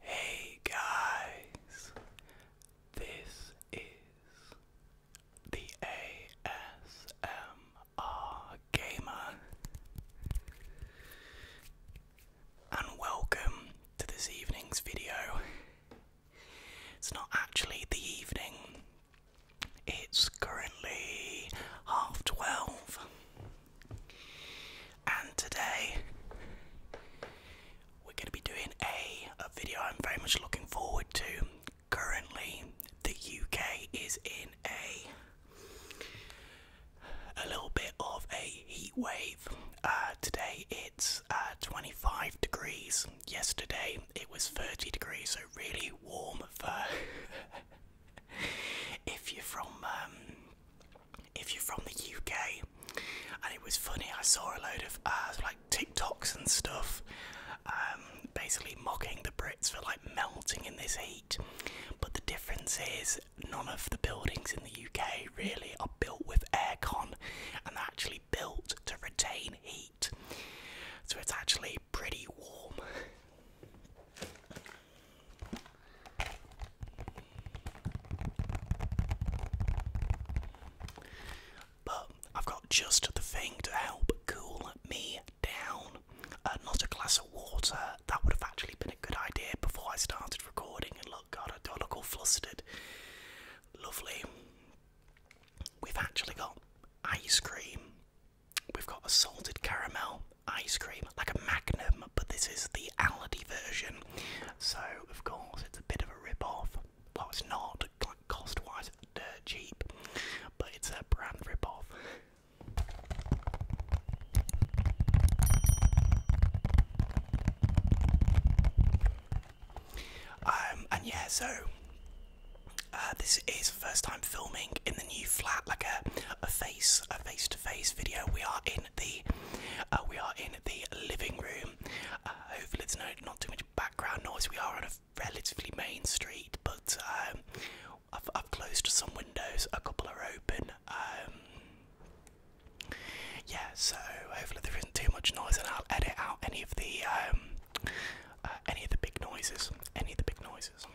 Hey guys, this is the ASMR Gamer, and welcome to this evening's video. It's not actually the evening it's currently half twelve, and today we're going to be doing a, a video I'm very much looking forward to. Currently, the UK is in a a little bit of a heat wave. Uh, today it's uh, 25 degrees. Yesterday it was 30 degrees, so really warm if you're from um, if you're from the UK, and it was funny. I saw a load of uh, like TikToks and stuff, um, basically mocking the Brits for like melting in this heat. But the difference is, none of the buildings in the UK really are built with aircon, and they're actually built to retain heat. So it's actually pretty warm. But I've got just the thing to help cool me down. Uh, not a glass of water, that would have actually been a good idea before I started recording. And look, God, I look all flustered. Lovely. We've actually got ice cream We've got a salted caramel ice cream, like a magnum, but this is the Aldi version. So, of course, it's a bit of a rip off. Well, it's not, cost wise, dirt cheap, but it's a brand rip off. Um, and yeah, so uh, this is first time filming in the new flat, like a face a face to face video. We are in the uh, we are in the living room. Uh, hopefully, there's no not too much background noise. We are on a relatively main street, but um, I've, closed some windows. A couple are open. Um, yeah, so hopefully there isn't too much noise, and I'll edit out any of the um, any of the big noises. Any of the big noises.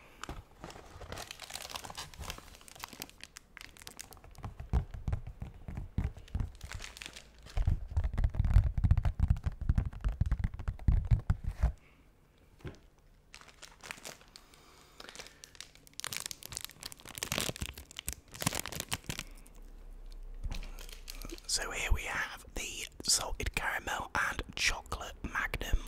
So here we have the salted caramel and chocolate magnum.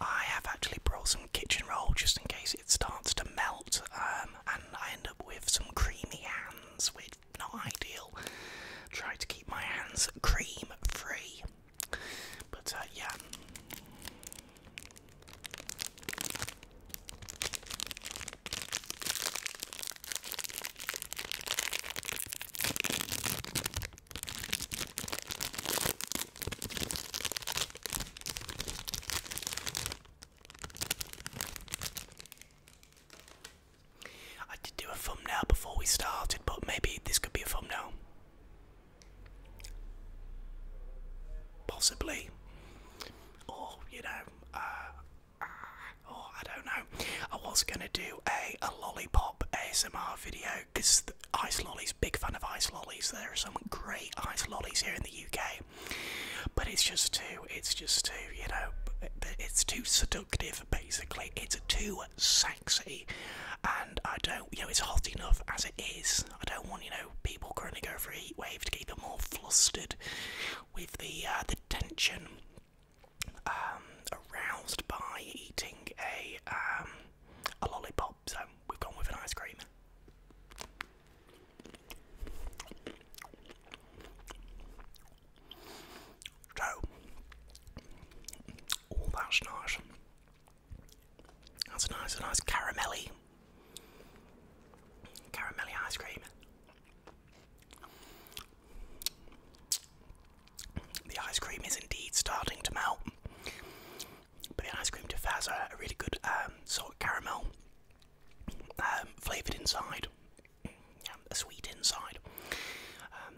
I have actually brought some kitchen roll just in case it starts to melt um, and I end up with some creamy hands, which not ideal. Try to keep my hands cream free. But uh, yeah. I did do a thumbnail before we started, but maybe this could be a thumbnail. Possibly or you know, uh, uh, or I don't know. I was gonna do a a lollipop ASMR video because ice lollies, big fan of ice lollies. There are some great ice lollies here in the UK, but it's just too, it's just too, you know, it's too seductive. Basically, it's too sexy, and I don't, you know, it's hot enough as it is. I don't want, you know, people currently over a heat wave to keep them all flustered with the uh, the tension um, aroused by eating a um, a lollipop. So we've gone with an ice cream. So, all that's nice. That's nice, a nice caramelly Caramel ice cream. The ice cream is indeed starting to melt, but the ice cream to has a, really good um, sort of caramel um, flavoured inside, a sweet inside. Um,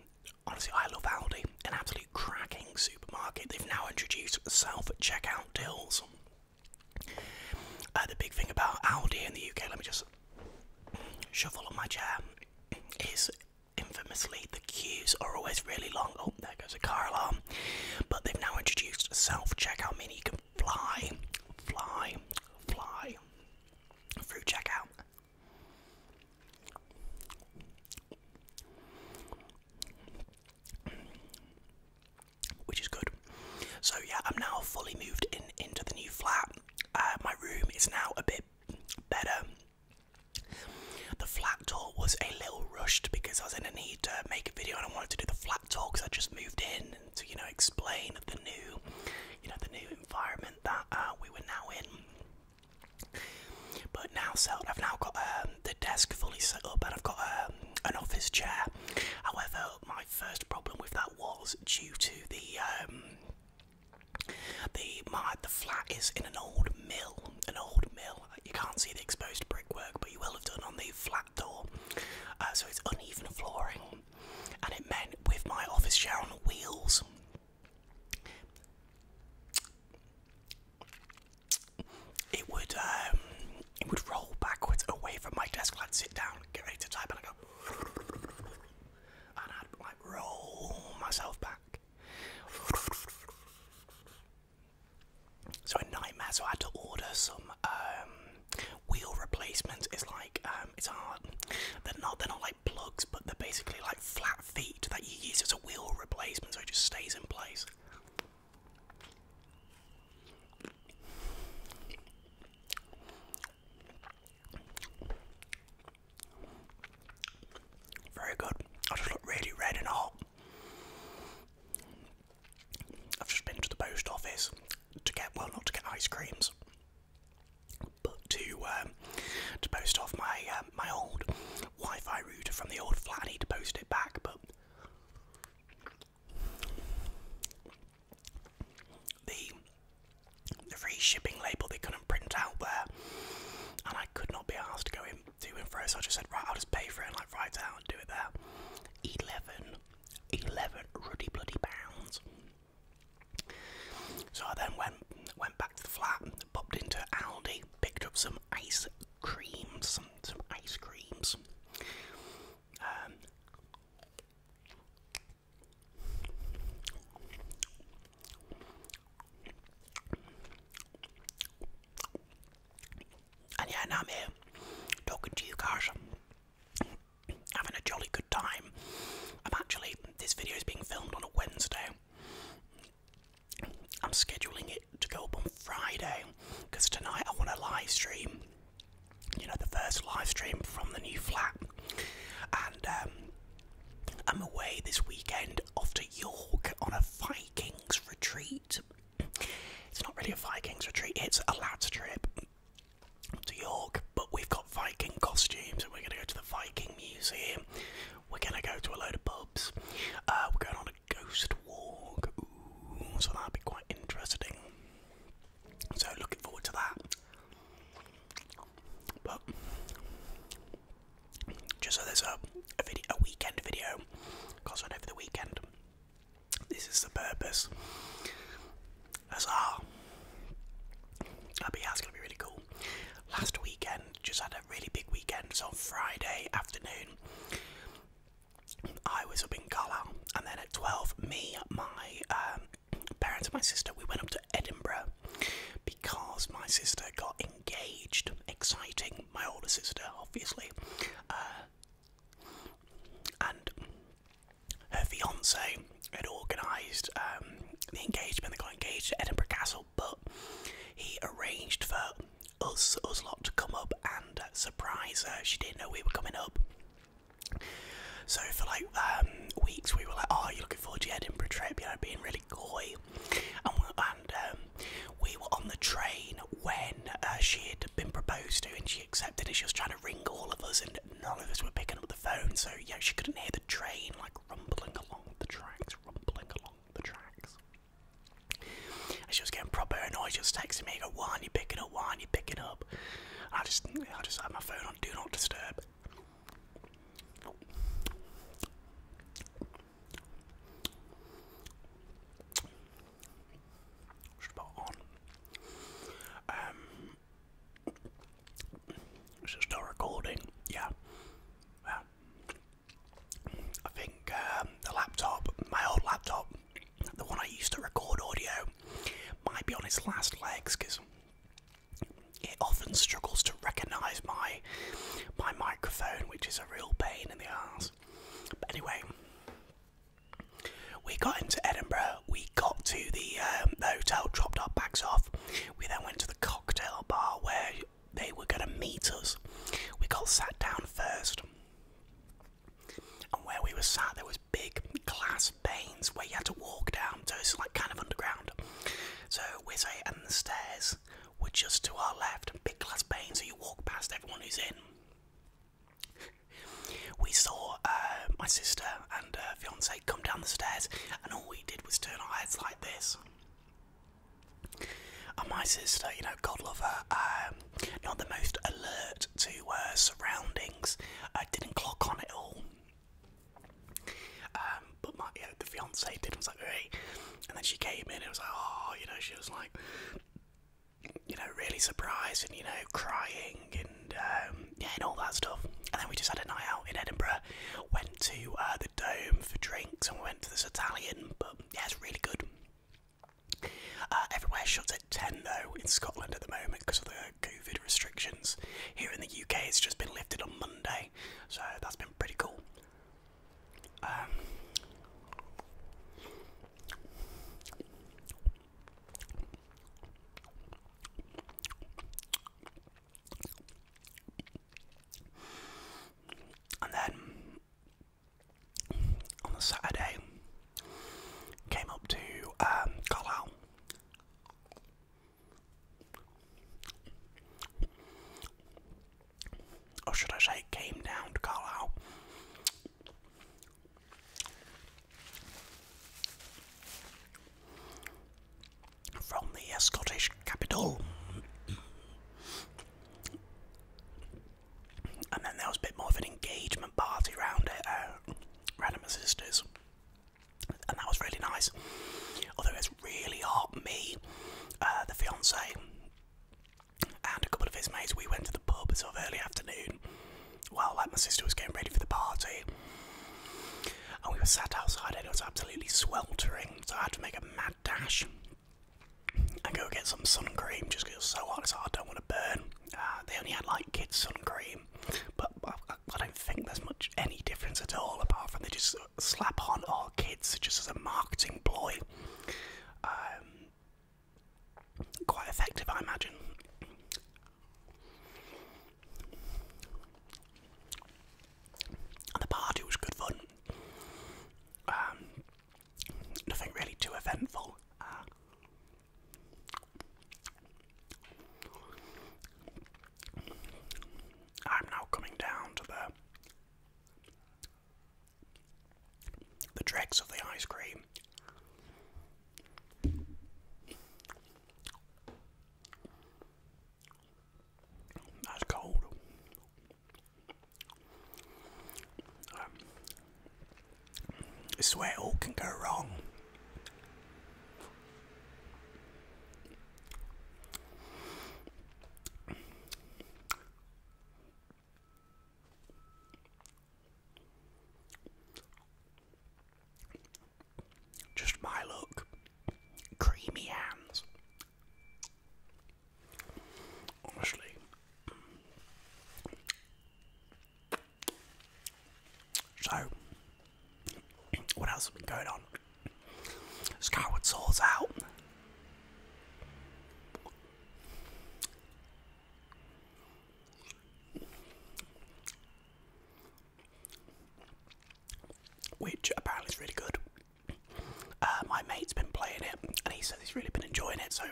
honestly, I love Aldi, an absolute cracking supermarket. They've now introduced self checkout deals the big thing about Aldi in the UK, let me just shuffle on my chair, is infamously the queues are always really long. Oh, there goes a car alarm. But they've now introduced a self checkout, mini you can fly, fly, fly through checkout which is good. So yeah, I'm now fully moved in into the new flat. Uh, my room is now a bit better. The flat tour was a little rushed because I was in a need to make a video and I wanted to do the flat tour because I just moved in to you know explain the new, you know the new environment that uh, we were now in. But now so I've now got um, the desk fully set up and I've got um, an office chair. However, my first problem with that was due to the um, the my the flat is in an old mill, an old mill. You can't see the exposed brickwork, but you will have done on the flat door. Uh, so it's uneven flooring, and it meant with my office chair on wheels. It would um, it would roll backwards away from my desk. I'd sit down, get ready to type, and I'd go, and I'd like roll myself back. So a nightmare. I had to order some um, wheel replacements. It's like um, it's hard. They're not they're not like plugs, but they're basically like flat feet that you use as a wheel replacement, so it just stays in place. Very good. I just look really red and hot. I've just been to the post office to get, well, not to get ice creams, but to um, to post off my um, my old Wi-Fi router from the old flat. I need to post it back, but the the free shipping label they couldn't print out there, and I could not be asked to go in to and fro. So I just said, right, I'll just pay for it and like write out and do it there. Eleven, eleven ruddy bloody pounds. So I then went went back to the flat, popped into Aldi, picked up some ice cream, some some ice creams, and yeah, now I'm here talking to you guys, having a jolly good time. I'm actually, this video is being filmed on a Wednesday. I'm scheduling it to go up on Friday because tonight I want to live stream you know, the first live stream from the new flat. And um, I'm away this weekend off to York on a Vikings retreat. It's not really a Vikings retreat, it's a lads trip to York, but we've got Viking costumes and we're going to go to the Viking Museum. We're going to go to a load of pubs. Uh, we're going on a Ghost Walk. Ooh, so that'd be quite interesting. So looking forward to that. But just so there's a a, video, a weekend video, because on over the weekend. This is the purpose. As all. That'd be, yeah, that's gonna be really cool. Last weekend, just had a really big weekend. So Friday afternoon, I was up in Carlisle, and then at 12, me, my um, parents, and my sister, we went up to Edinburgh because my sister got engaged. Exciting, my older sister, obviously. Uh, and her fiance had organised um, the engagement, they got engaged at Edinburgh Castle, but he arranged for us us lot to come up and surprise her. She didn't know we were coming up. So for like um, weeks, we were like, "Oh, you're looking forward to Edinburgh trip?" You know, being really coy. And we, um, were on the train when uh, she had been proposed to, and she accepted. And she was trying to ring all of us, and none of us were picking up the phone. So yeah, she couldn't hear the train like rumbling along the tracks, rumbling along the tracks. And she was getting proper annoyed. She was texting me, I go, why are you picking up? Why are you picking up? I just, I just have my phone on do not disturb. Um, is it still recording? Yeah. yeah. I think um, the laptop, my old laptop, the one I used to record audio might be on its last legs because it often struggles to recognise my my microphone, which is a real pain in the ass. But anyway, we got into Edinburgh. We got to the, um, the hotel, dropped our bags off. We then went to the cocktail bar where they were going to meet us. We got sat down first. And where we were sat, there was big glass panes where you had to walk down. So it's like kind of underground. So we say, and the stairs were just to our left, and big glass panes. So you walk past everyone who's in. We saw uh, my sister and her fiance come down the stairs, and all we did was turn our heads like this. And my sister, you know, God love her, um, not the most alert to uh, surroundings. I didn't clock on at all. Um, but my the fiance did. I was like, hey, and then she came in. It was like, oh, you know, she was like, you know, really surprised and you know, crying and um, yeah, and all that stuff. And then we just had a night out in Edinburgh. Went to uh, the Dome for drinks, and we went to this Italian. But yeah, it's really good. Uh, everywhere shut at 10 though in Scotland at the moment because of the COVID restrictions. Here in the UK, it's just been lifted on Monday, so that's been pretty cool. Um, and then on the Saturday. Came up to um, Carlisle. Or should I say, came down to Carlisle. From the uh, Scottish capital and then there was a bit more of an engagement party around it, uh, around my sister's, and that was really nice. Although it's really hot, me, uh, the fiance, and a couple of his mates, we went to the pub sort of early afternoon while like my sister was getting ready for the party. And we were sat outside and it was absolutely sweltering, so I had to make a mad dash I go get some sun cream just because it's so hot, it's I don't want to burn. Ah, they only had like kids' sun cream, but I, don't think there's much any difference at all apart from they just slap on all kids just as a marketing ploy. Um, quite effective, I imagine. And the party was good fun. Um, nothing really too eventful. Ah. I'm now coming down to the the dregs of the ice cream. That's cold. Um, it's all can go wrong. Just my look. Creamy hands. Honestly. So, what else has been going on? Skyward Sword's out. Which apparently is really good. Uh, my mate's been playing it and he says he's really been enjoying it, so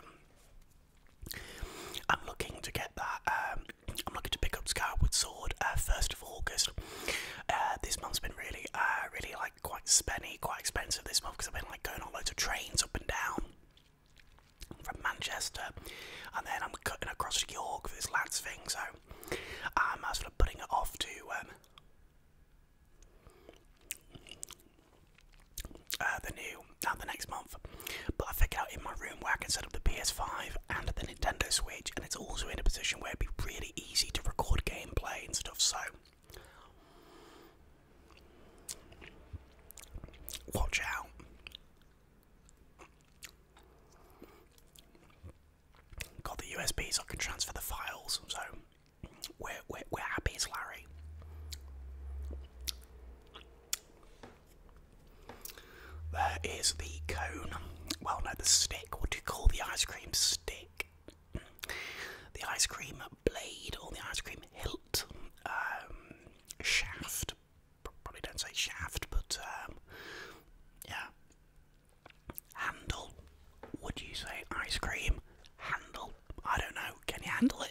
I'm looking to get that. Um, I'm looking to pick up Skyward Sword uh, first of August. Uh, this month's been really, uh, really like quite spenny, quite expensive this month because I've been like going on loads of trains up and down from Manchester, and then I'm cutting across York for this lads thing. So I'm sort of putting it off to. Um, uh, the new, now uh, the next month. But I figured out in my room where I can set up the PS5 and the Nintendo Switch, and it's also in a position where it'd be really easy to record gameplay and stuff. So watch out. Got the USBs, so I can transfer the files. So we're, we're, we're happy as Larry. There is the cone. Well, no, the stick. What do you call the ice cream stick? The ice cream blade or the ice cream hilt um, shaft. Probably don't say shaft, but um, yeah. Handle. Would you say ice cream handle? I don't know. Can you handle it?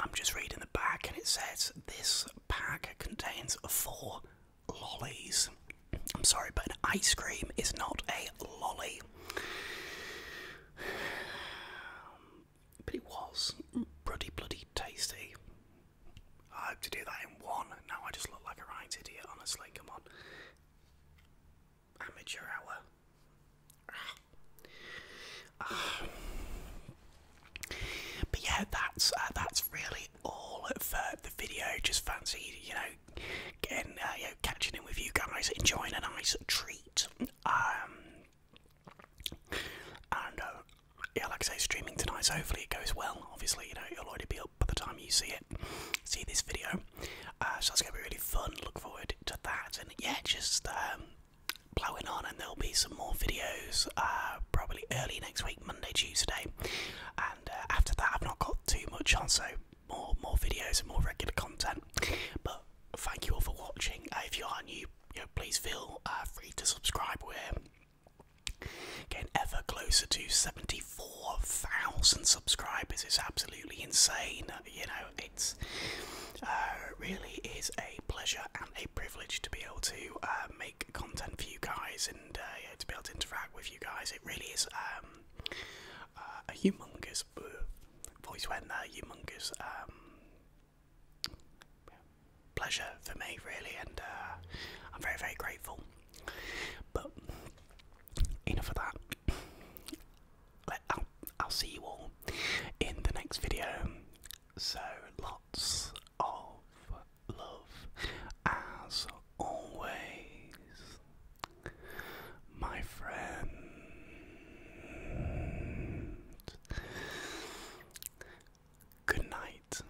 I'm just reading the back and it says this pack contains four lollies. I'm sorry, but an ice cream is not a lolly. But it was bloody, bloody tasty. I hope to do that in one. Now I just look like a right idiot, honestly. Come on amateur hour. but yeah, that's uh, that's really all of the video. Just fancy, you know, getting uh, you know, catching in with you guys, enjoying a nice treat. Um, and uh, yeah, like I say, streaming tonight. So hopefully it goes well. Obviously, you know, you will already be up by the time you see it, see this video. Uh, so that's gonna be really fun. Look forward to that, and yeah, just blowing um, on, and there'll be some more videos uh, probably early next week, Monday, Tuesday, and uh, after that, I've not got too much on, so more more videos and more regular content. But thank you all for watching. if you are new, please feel free to subscribe. We're getting ever closer to 75 Four thousand subscribers is absolutely insane. You know, it's uh, really is a pleasure and a privilege to be able to uh, make content for you guys and uh, to be able to interact with you guys. It really is um, a humongous voice when there, humongous. Um, pleasure for me really and I'm very very grateful but enough of that. I'll, I'll see you all in the next video. So lots of love as always, my friends. Good night.